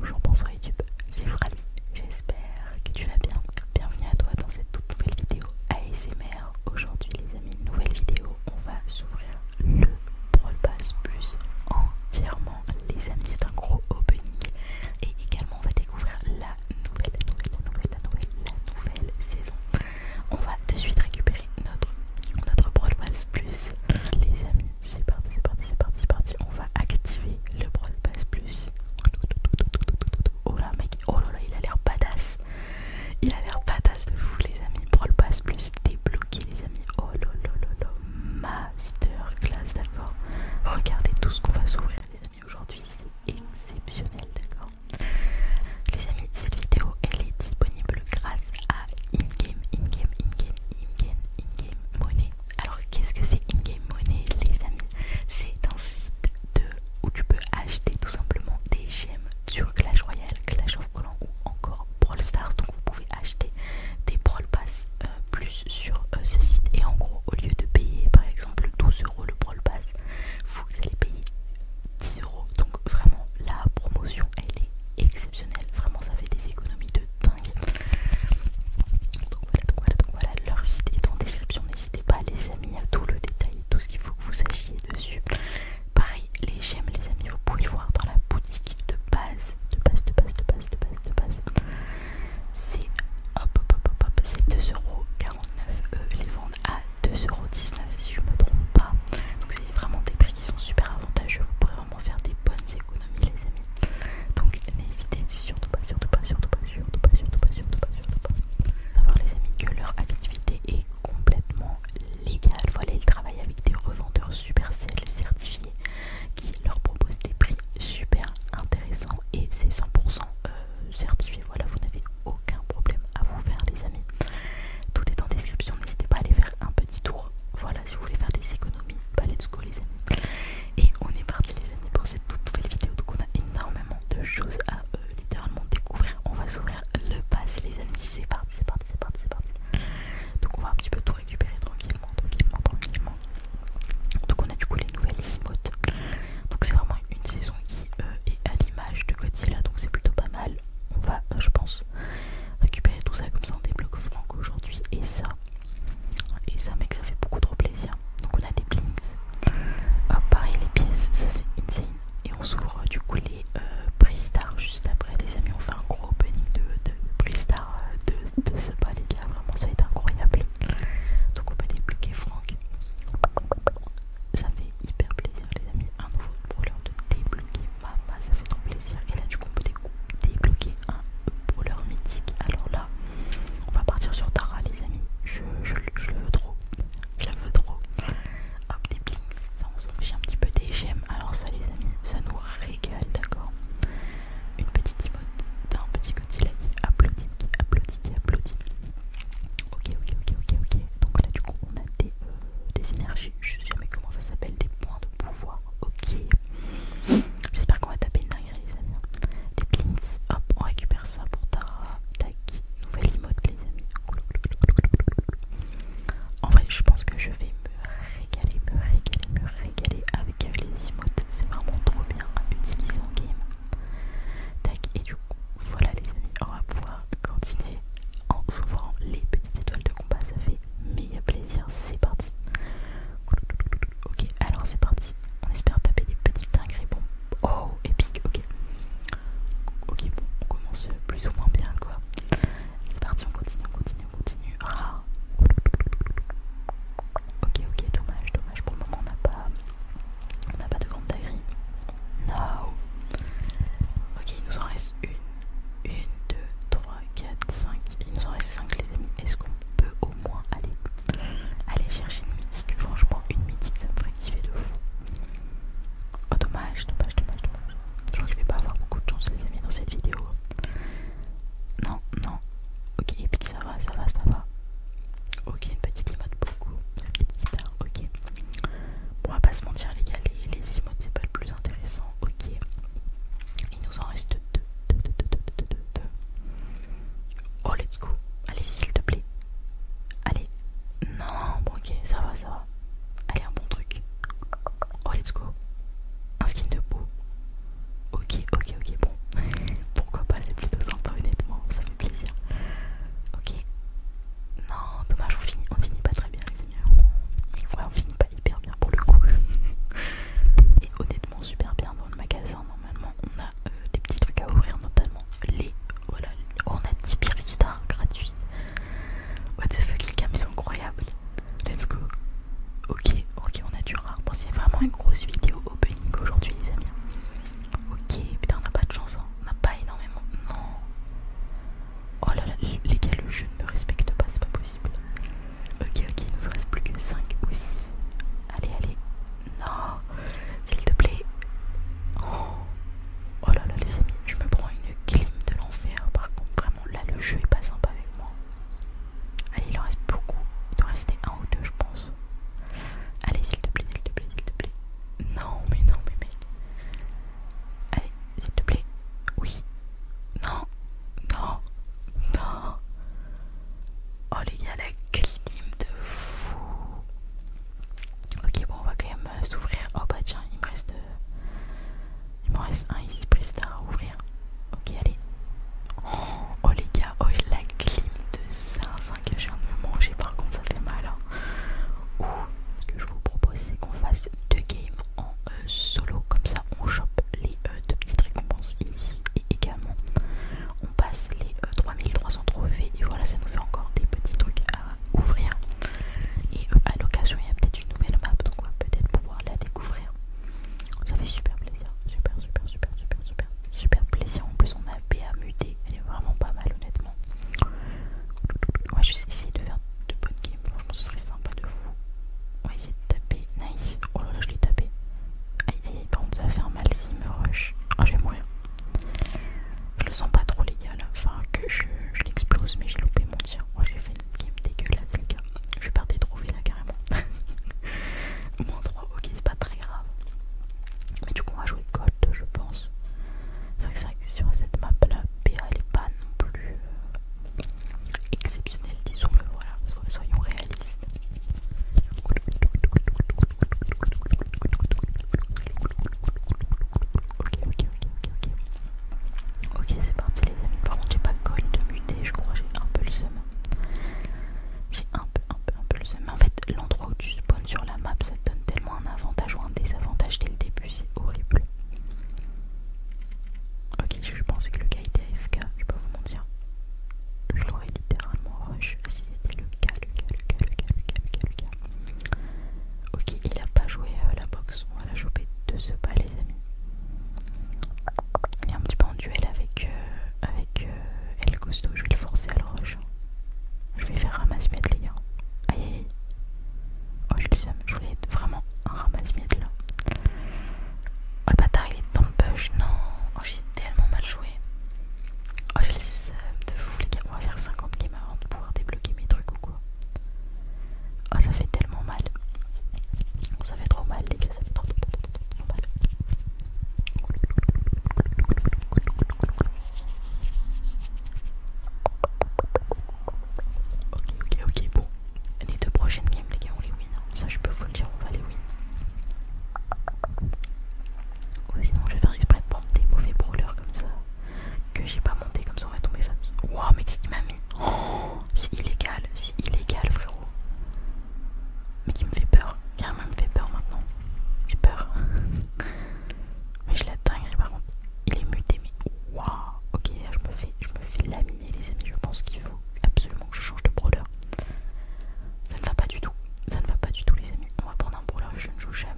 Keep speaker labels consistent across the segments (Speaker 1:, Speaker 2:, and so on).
Speaker 1: Bonjour, bonsoir YouTube, c'est Frali, j'espère que tu vas bien. Bienvenue à toi dans cette toute nouvelle vidéo ASMR. Aujourd'hui les amis, nouvelle vidéo, on va s'ouvrir le Brawl Plus entièrement. Les amis, c'est un gros opening. Et également on va découvrir la nouvelle, nouvelle, la nouvelle, saison. On va de suite récupérer notre, notre Plus. Les amis, c'est parti, c'est parti, c'est parti, c'est parti. On va activer le Brawl Pass Plus. Oh là, mec, oh là là, il a l'air badass. Il a l'air badass de fou, les amis. Brawl Pass Plus débloqué, les amis. Oh là là là là, masterclass, d'accord. Regardez tout ce qu'on va s'ouvrir, les amis. Aujourd'hui, c'est exceptionnel, d'accord. Les amis, cette vidéo, elle est disponible grâce à InGame, InGame, InGame, InGame, InGame Money. Alors qu'est-ce que c'est Ingame game Money les amis C'est un site où tu peux acheter tout simplement des gemmes sur Clash Royale, Clash of Clans ou encore Brawl Stars. Donc vous pouvez acheter des Brawl Pass euh, plus sur euh, ce site. Et en gros au lieu de payer par exemple 12 euros le Brawl Pass, vous allez payer 10 euros. Donc vraiment la promotion elle est excellente Vraiment, ça fait des économies de dingue. Donc voilà, voilà, Leur site est en description. N'hésitez pas, les amis, à tout le détail, tout ce qu'il faut que vous sachiez dessus. Pareil, les gemmes, les amis, vous pouvez voir dans la boutique de base. De base, de base, de base, de base, de base. C'est hop, hop, hop, C'est 2,49€. Eux les vendent à 2,19€ si je me trompe pas. Donc c'est vraiment des prix qui sont super avantageux. Vous pourrez Hein, faire des bonnes économies les amis. Donc n'hésitez surtout pas, surtout pas, surtout pas, surtout pas, surtout pas, surtout pas, surtout pas. Savoir les amis que leur activité est complètement légale. Voilà, ils travaillent avec des revendeurs super supercell certifiés qui leur proposent des prix super intéressants et c'est 100% euh, certifié. Voilà, vous n'avez aucun problème à vous faire les amis. Tout est en description, n'hésitez pas à aller faire un petit tour. Voilà, si vous voulez faire des économies, palette bah, de et on est parti les amis pour cette toute nouvelle vidéo. Donc on a énormément de choses à euh, littéralement découvrir. On va s'ouvrir le pass les amis. C'est parti, c'est parti, c'est parti, c'est parti. Donc on va un petit peu tout récupérer tranquillement, tranquillement, tranquillement. Donc on a du coup les nouvelles emotes. Donc c'est vraiment une saison qui euh, est à l'image de Godzilla. Donc c'est plutôt pas mal. On va, euh, je pense, récupérer tout ça comme ça on débloque Franck aujourd'hui. Et ça, et ça, mec, ça fait beaucoup trop plaisir. Donc, on a des blinks. Ah, pareil, les pièces, ça c'est insane. Et on s'ouvre du coup les euh, priestars juste après, les amis. On fait un gros opening de, de Bristar euh, de, ce palais-là, Vraiment, ça va être incroyable. Donc, on peut débloquer Franck. Ça fait hyper plaisir, les amis. Un nouveau problème de débloquer. Ah, bah, ça fait trop plaisir. Et là, du coup, on peut débloquer un voleur mythique. Alors là, on va partir sur Tara, les amis. Je, le veux trop. Je le veux trop. Hop, des blinks. Ça, on s'en un petit peu des gemmes. Alors, ça, les amis, ça nous régale, d'accord Une petite emote d'un petit côté applaudit, applaudit, applaudit. Ok, ok, ok, ok, ok. Donc là, du coup, on a des, euh, des énergies. Je sais jamais comment ça s'appelle, des points de pouvoir ok. J'espère qu'on va taper une dinguerie, les amis. les pins, hop, on récupère ça pour ta Tac, nouvelle emote, les amis. En vrai, je pense que je vais me régaler, me régaler, me régaler avec les emotes. C'est vraiment trop bien à utiliser en game. Tac, et du coup, voilà, les amis, on va pouvoir continuer en s'ouvrant les petites étoiles de combat. Ça fait meilleur plaisir. C'est parti. Ok, alors c'est parti. On espère taper des petits dingueries. Bon, oh, épique, ok. Ok, bon, on commence plus ou moins bien, quoi. C'est parti, on continue, on continue, on continue. Ah. Ok, ok, dommage, dommage. Pour le moment, on n'a pas, on n'a pas de grande dinguerie. No. Ok, il nous en reste une. 1, 2, 3, 4, 5. Il nous en reste 5 les amis. Est-ce qu'on peut au moins aller, chercher une mythique Franchement une mythique ça me ferait kiffer de fou. Oh dommage, dommage, dommage, dommage. Je je vais pas avoir beaucoup de chance les amis dans cette vidéo. Non, non. Ok, et puis ça va, ça va, ça va. Ok, une petite emote beaucoup. Une petite guitare, ok. Bon, on va pas se mentir les gars, les, les c'est pas le plus intéressant, ok. Il nous en reste deux. Oh, let's go. Allez, s'il te plaît. Allez. Non, bon, ok, ça va, ça va. Allez, un bon truc. Oh, let's go. Un skin de peau. Ok, ok, ok, bon. Pourquoi pas, c'est plutôt sympa, honnêtement. Ça fait plaisir. Ok. Non, dommage, on finit, on finit pas très bien, les amis pas hyper bien pour le coup. Et honnêtement, super bien dans le magasin. Normalement, on a euh, des petits trucs à ouvrir, notamment les. Voilà, on a 10 Birista gratuits. What the fuck, les cams, incroyables. Let's go. Ok, ok, on a du rare. Bon, c'est vraiment une grosse vidéo opening aujourd'hui, les amis. Ok, putain, on n'a pas de chance, hein. on n'a pas énormément. Non, Oh là là, les gars, le jeu ne me respecte pas, c'est pas possible. Ok, ok, il nous reste plus que 5 ou 6. Allez, allez. Non, s'il te plaît. Oh, oh. là là, les amis, je me prends une clim de l'enfer. Par contre, vraiment, là, le jeu est pas sympa avec moi. Allez, il en reste beaucoup. Il doit rester un ou deux, je pense. Allez, s'il te plaît, s'il te plaît, s'il te plaît. Non, mais non, mais mais Allez, s'il te plaît. Oui, non, non, non. Oh les gars, la clim de fou. Ok, bon, on va quand même euh, s'ouvrir. Oh bah tiens, il me reste. Euh, il me reste un ici, prise à ouvrir. Ok, allez. Oh, les gars, oh la clim de zinzin que je viens de me manger, par contre, ça fait mal. Hein. ce que je vous propose, c'est qu'on fasse deux games en euh, solo, comme ça on chope les euh, deux petites récompenses ici et également on passe les 3300 euh, trophées et voilà ça nous fait encore des petits trucs à ouvrir et euh, à l'occasion il y a peut-être une nouvelle map donc on va peut-être pouvoir la découvrir ça fait super plaisir super super super super super super plaisir en plus on a BA muté elle est vraiment pas mal honnêtement moi je essayer de faire de bonnes games franchement ce serait sympa de vous j'ai tapé taper. Nice. Oh là là, je l'ai tapé. Aïe aïe aïe, par ça va faire mal s'il me rush. oh je vais mourir. Je le sens pas trop, les gars Enfin, que je, je l'explose, mais j'ai loupé mon tir. Moi, oh, j'ai fait une game dégueulasse, les gars. Je suis partie trouver là carrément. Moins 3, ok, c'est pas très grave. Mais du coup, on va jouer Gold, je pense. C'est vrai que sur cette map là, PA elle est pas non plus. Euh, exceptionnel, disons-le, voilà, soyons réalistes. Ok, ok, ok, ok, c'est parti, les amis. Par contre, j'ai pas de colle de muter, je crois, j'ai un peu le seum. J'ai un peu, un peu, un peu le seum. en fait, l'endroit où tu spawns sur la map, ça te donne tellement un avantage ou un désavantage dès le début, c'est horrible. Ok, je pensais que le gars était AFK, je peux vous mentir. Je l'aurais littéralement rush si c'était le cas, le cas, le cas, le cas, le cas, le cas, Ok, il a pas joué à euh, la boxe, on va la choper de ce pas, les amis. Il est un petit peu en duel avec, euh, euh, El Costo, je vais le forcer à le rush. Je vais faire ramasser les gars. aïe aïe. Oh, je le sais, je voulais vraiment un ramasse-miettes là. Oh, le bâtard, il est dans le bush. Non, oh, j'ai tellement mal joué. Oh, j'ai le sais, de fou, les gars. On va faire 50 games avant de pouvoir débloquer mes trucs ou quoi. Oh, ça fait tellement mal. Ça fait trop mal, les gars, ça fait mal. Ok, ok, ok, bon les deux prochaines games, les gars, on les win. Hein. Ça, je peux vous le dire, on va les win. Ou sinon, je vais faire exprès de prendre des mauvais brawlers comme ça que j'ai pas monté, comme ça on va tomber face. Waouh, mec, ce qu'il m'a mis. Oh, c'est illégal, c'est illégal, frérot. Mais qui me fait peur. Carrément, il me fait peur maintenant. J'ai peur. mais je l'ai par contre. Il est muté, mais waouh. Ok, je me fais, je me fais les amis, je pense qu'il faut absolument que je change de brawler. Ça ne va pas du tout, ça ne va pas du tout les amis. On va prendre un brawler, je ne joue jamais.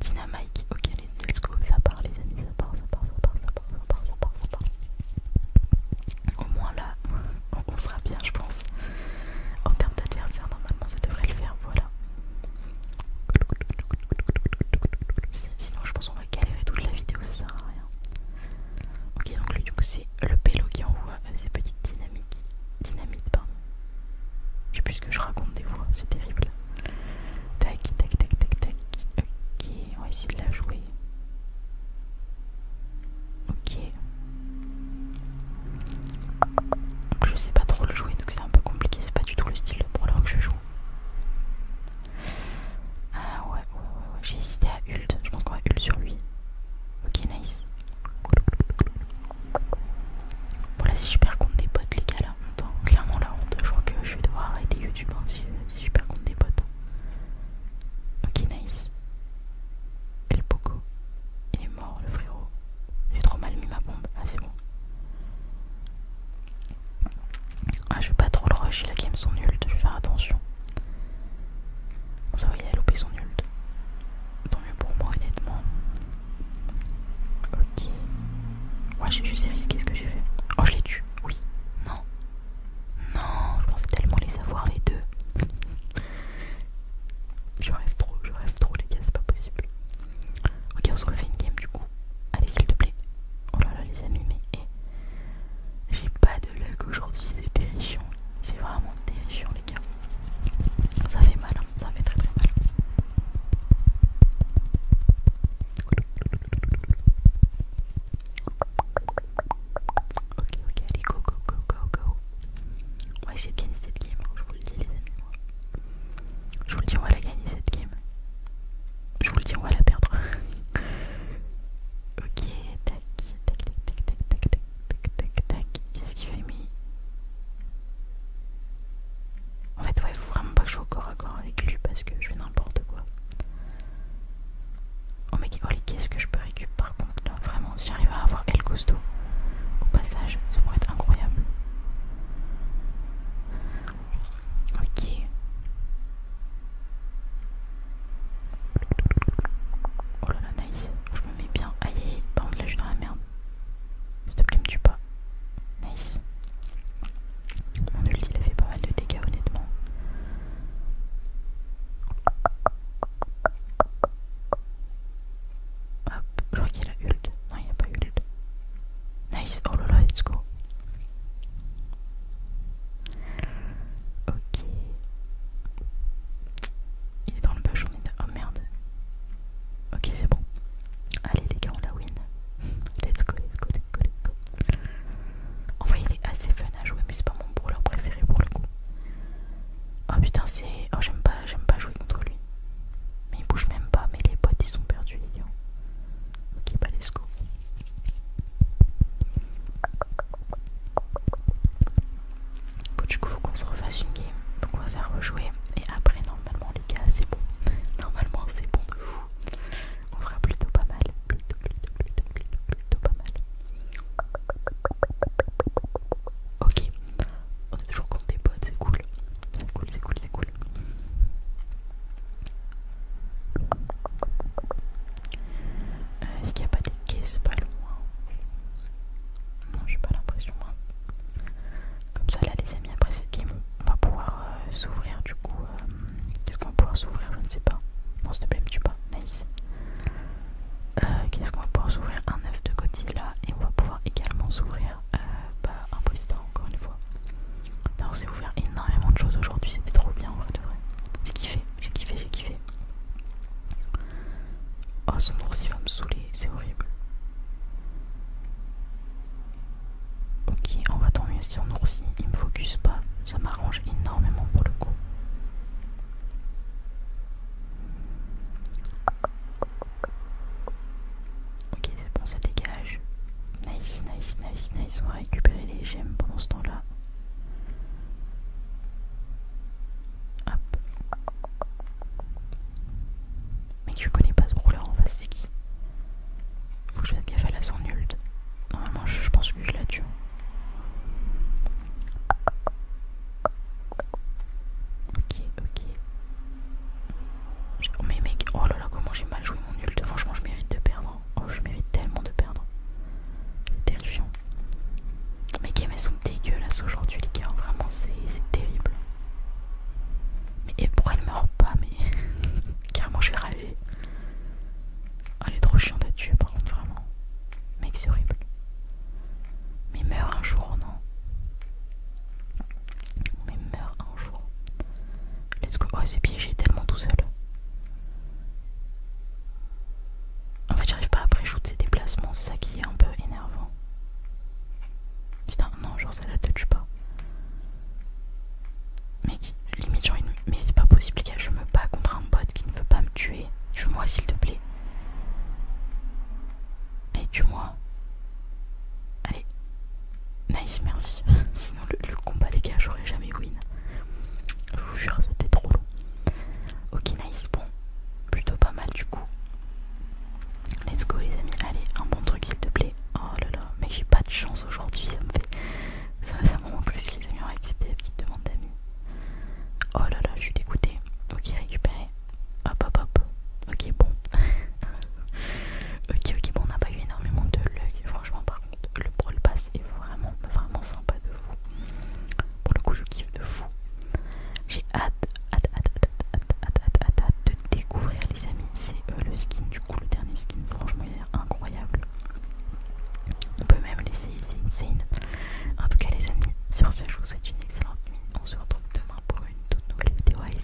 Speaker 1: Dynamite, ok allez, let's go, ça part les amis, ça part, ça part, ça part, ça part, ça part, ça part, Au moins là, on sera bien je pense. En termes d'adversaire, normalement ça devrait le faire, voilà. Sinon je pense on va galérer toute la vidéo, ça sert à rien. Ok, donc lui, du coup, c'est le pélo qui envoie euh, ces petites dynamiques. Dynamite, pardon. Je sais plus ce que je raconte des fois, c'est terrible. Tac, tac, tac, tac, tac. Ok, on va essayer de la jouer. Ok. Je sais pas trop le jouer, donc c'est un peu compliqué, c'est pas du tout le style de brawler que je joue. Ah ouais, j'ai hésité à ult, Je pense qu'on va ult sur lui. Ok, nice. Bon, là, si je perds contre des potes, les gars, la honte. Clairement, la honte. Je crois que je vais devoir arrêter YouTube hein, si, si je perds contre des potes. Ok, nice. El Poco. Il est mort, le frérot. J'ai trop mal mis ma bombe. Ah, c'est bon. Ah, je vais pas trop le rush, il a quand son ult, je vais faire attention. ça va, il a loupé son ult. Tant mieux pour moi, honnêtement. Ok. Ouais, j'ai juste risqué ce que j'ai fait. Oh, je l'ai tué, oui. Non. Non, je pensais tellement les avoir, les deux. je rêve trop, je rêve trop, les gars, c'est pas possible. Ok, on se refait une game du coup. Allez, s'il te plaît. Oh là là, les amis, mais eh. j'ai pas de luck aujourd'hui. C'est terrifiant. C'est vraiment terrifiant, les gars. Ça fait mal, hein. ça fait très très mal. Ok, ok, allez, go, go, go, go, go. On va essayer de gagner cette game, hein. je vous le dis, les amis. Moi. Je vous le dis, on va la gagner cette game je vous le dis, on va la perdre. ok, tac, tac, tac, tac, tac, tac, tac, tac, tac. Qu'est-ce qu'il fait mis En fait, ouais, faut vraiment pas que je sois au corps à corps avec lui parce que je fais n'importe quoi. Oh mais oh, qu'est-ce que je peux récupérer par contre là, vraiment, si j'arrive à avoir El costaud au passage, ça pourrait être incroyable. Ok. Oh là là, nice. Je me mets bien. Aïe, bande la là je dans la merde. S'il te plaît, me tue pas. Nice. Mon ulti il a fait pas mal de dégâts honnêtement. Hop, je crois qu'il y a la Non, il n'y a pas ult. Nice, oh là là, let's go. Ok. Il est dans le bâchon. Oh merde. Ok, c'est bon. Allez les gars, on la win. Let's go, let's go, let's go, let's go. En vrai, il est assez fun à jouer, mais c'est pas mon brawler préféré pour le coup. Oh putain, c'est. Oh, j'aime pas, j'aime pas jouer contre lui. Mais il bouge même pas, mais les potes ils sont perdus, les gars. Ok, pas les Bon, du coup, faut qu'on se refasse une game. Donc, on va faire rejouer. Et après, normalement, les gars, c'est bon. Normalement, c'est bon On sera plutôt pas mal. Plutôt, plutôt, plutôt, plutôt, plutôt pas mal. Ok, on est toujours contre des potes, c'est cool. C'est cool, c'est cool, c'est cool. Euh, est-ce qu'il n'y a pas des caisses pas loin Non, j'ai pas l'impression. Hein. Comme ça, là, les amis, après cette game, on va pouvoir euh, s'ouvrir. Du coup, euh, qu'est-ce qu'on va pouvoir s'ouvrir Je ne sais pas. Non, s'il te plaît, me pas. Nice. qu'est-ce qu'on va pouvoir s'ouvrir Un œuf de Godzilla et on va pouvoir également s'ouvrir euh, bah, un encore une fois. on j'ai ouvert énormément de choses aujourd'hui, c'était trop bien en vrai de vrai. J'ai kiffé, j'ai kiffé, j'ai kiffé. Oh son oursil va me saouler, c'est horrible. Ok, on va tant mieux si son ours il me focus pas, ça m'arrange énormément pour le coup. Ok, c'est bon, ça dégage. Nice, nice, nice, nice. On va récupérer les gemmes pendant ce temps-là. Hop. Mais je connais pas ce rouleur en face, c'est qui Faut que je fasse gaffe la son nulde. Normalement, je pense que je la tue. Ok, ok. Oh, mais mec, oh là là, comment j'ai mal joué mon ult. Franchement, je mérite de perdre. Oh, je mérite tellement de perdre. Terrifiant. Mes et elles sont dégueulasses aujourd'hui, les gars. Vraiment, c'est terrible. Mais pourquoi elle meurt pas Mais carrément, je vais rager. elle est trop chiante à tuer, par contre, vraiment. Mec, c'est horrible. Mais meurt un jour, non mais meurt un jour. Let's go. Oh, c'est piégé tellement tout seul. En fait, j'arrive pas à pré ses déplacements, c'est ça qui est un peu énervant. Putain, non, genre ça la tue pas. Mec, limite, mais c'est pas possible, les gars, je me bats contre un bot qui ne veut pas me tuer. Tue-moi, s'il te plaît. Et tue-moi. Allez. Nice, merci. Sinon le, combat les gars, j'aurais jamais win. Je vous jure, c'était trop long. Ok, nice, bon. Plutôt pas mal du coup. Let's go les amis. Allez, un bon truc s'il te plaît. Oh là là, mais j'ai pas de chance aujourd'hui, ça me fait. Ça, ça me rend que les amis, ont accepté la petite demande d'amis. Oh là là, je suis dégoûtée. Ok, récupéré. Hop hop hop. Ok, bon. ok, ok, bon, on n'a pas eu énormément de luck, Franchement, par contre, le Brawl Pass est vraiment, vraiment sympa de fou. Pour le coup, je kiffe de fou. J'ai hâte, hâte, hâte, hâte, hâte, hâte, hâte, de découvrir, les amis. C'est euh, le skin, du coup, le dernier skin. Franchement, il est incroyable. On peut même l'essayer, c'est insane. En tout cas, les amis, sur ce, je vous souhaite une excellente nuit. On se retrouve demain pour une toute nouvelle vidéo